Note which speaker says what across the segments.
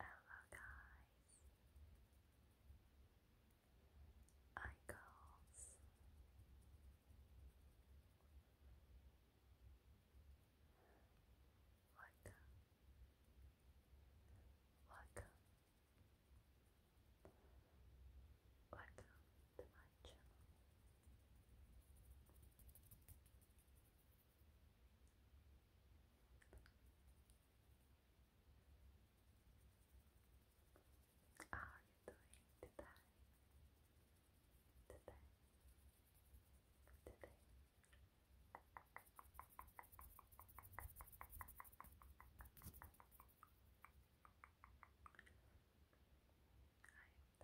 Speaker 1: Hello guys. I calls. Welcome. Welcome. Welcome to my channel. How are you today? Today? Today? I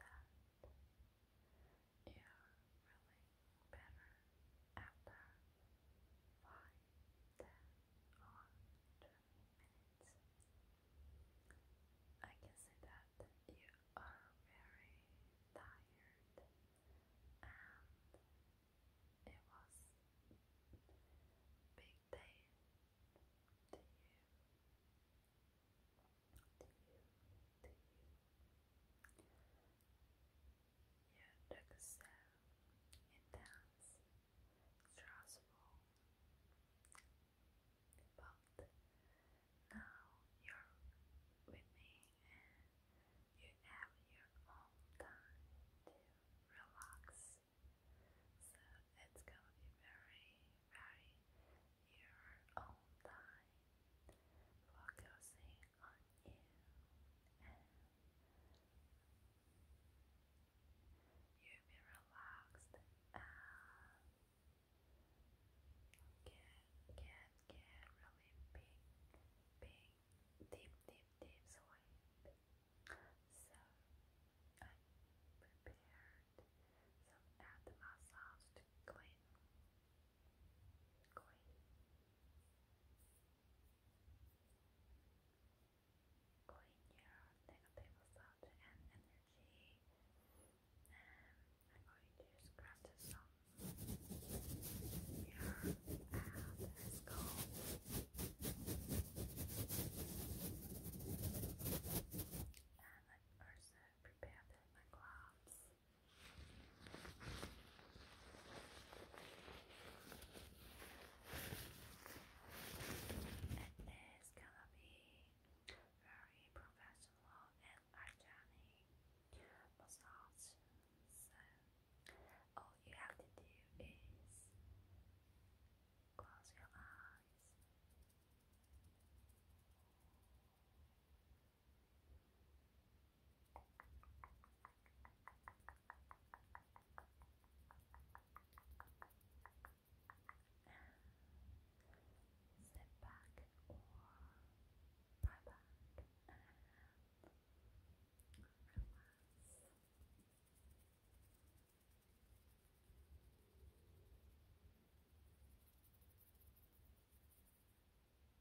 Speaker 1: am you're really better at Five, ten, or minutes. I can see that you are very tired, and it was big day to you. To you, to you. Il excelle in dance, Strasbourg. But now you're with me and you have your own time to relax. So it's gonna be very, very your own time focusing on you will be relaxed and get, get, get really big, big, deep, deep, deep sleep. So I prepared some animal sounds to clean coin, coin
Speaker 2: negative thought and energy. Um, I'm going to scratch some your and let's go. And I also prepared my gloves. And gonna be very professional and hygienic massage. all you have to do is close your eyes sit back or lie back Relax.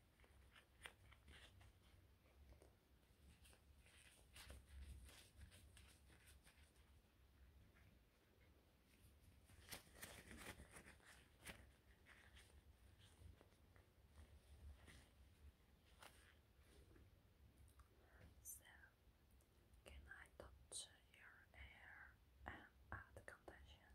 Speaker 2: So, can I touch your hair and add condition?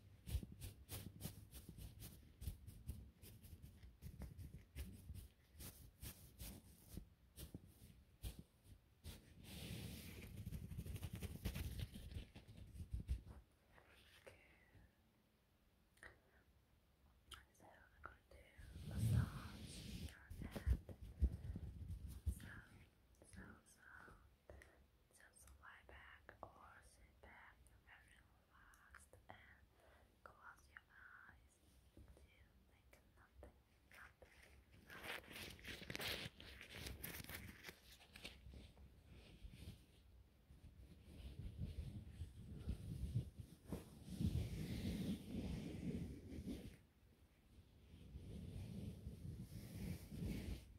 Speaker 1: So I'm going to massage your head. So, so, so. Just lie back or sit back very relaxed and close your eyes to nothing.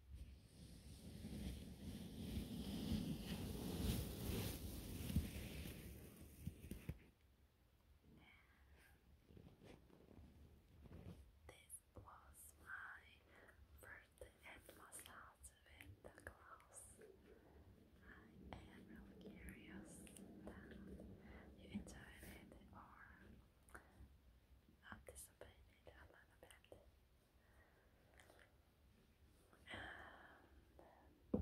Speaker 1: This was my first head massage with the I am really curious that you enjoyed it or participated a little bit. And let me, see here my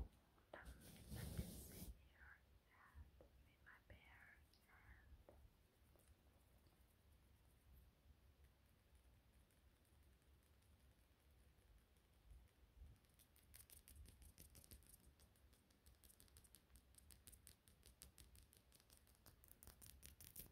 Speaker 1: bare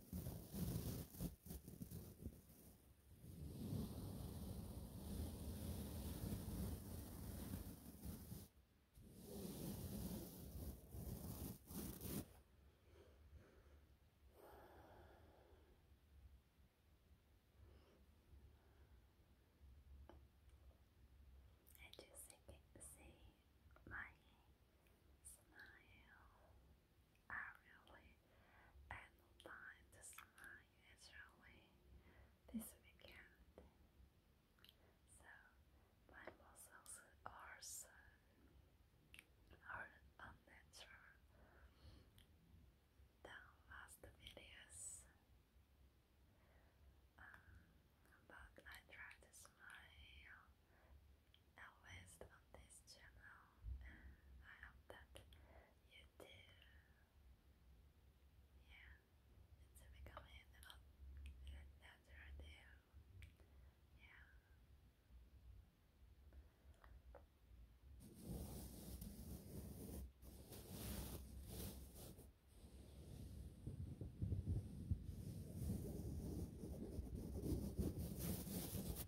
Speaker 1: I just say, say my smile. Aerially and lined the sky naturally this weekend. So my muscles are so are unnatural than last videos. Um, but I try to smile
Speaker 2: always on this channel and I hope that you do. Yeah, it's becoming a lot better there. Yeah.
Speaker 1: Thank you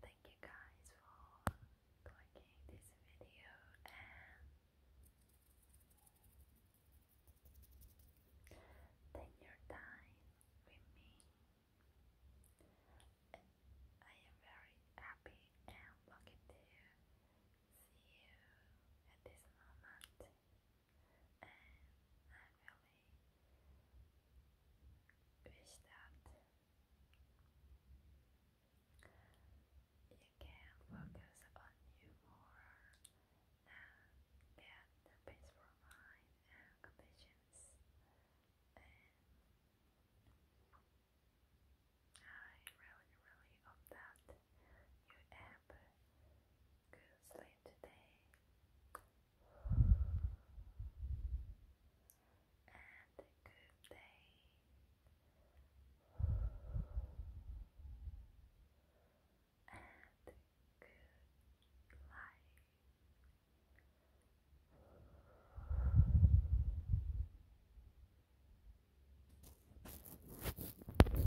Speaker 1: Thank you guys for liking this video and take your time with me. I am very happy and lucky to see you at this moment and I really wish that you can focus on you more and get peaceful mind and conditions and I really, really story of that you ever could sleep today. And a good day. And good life.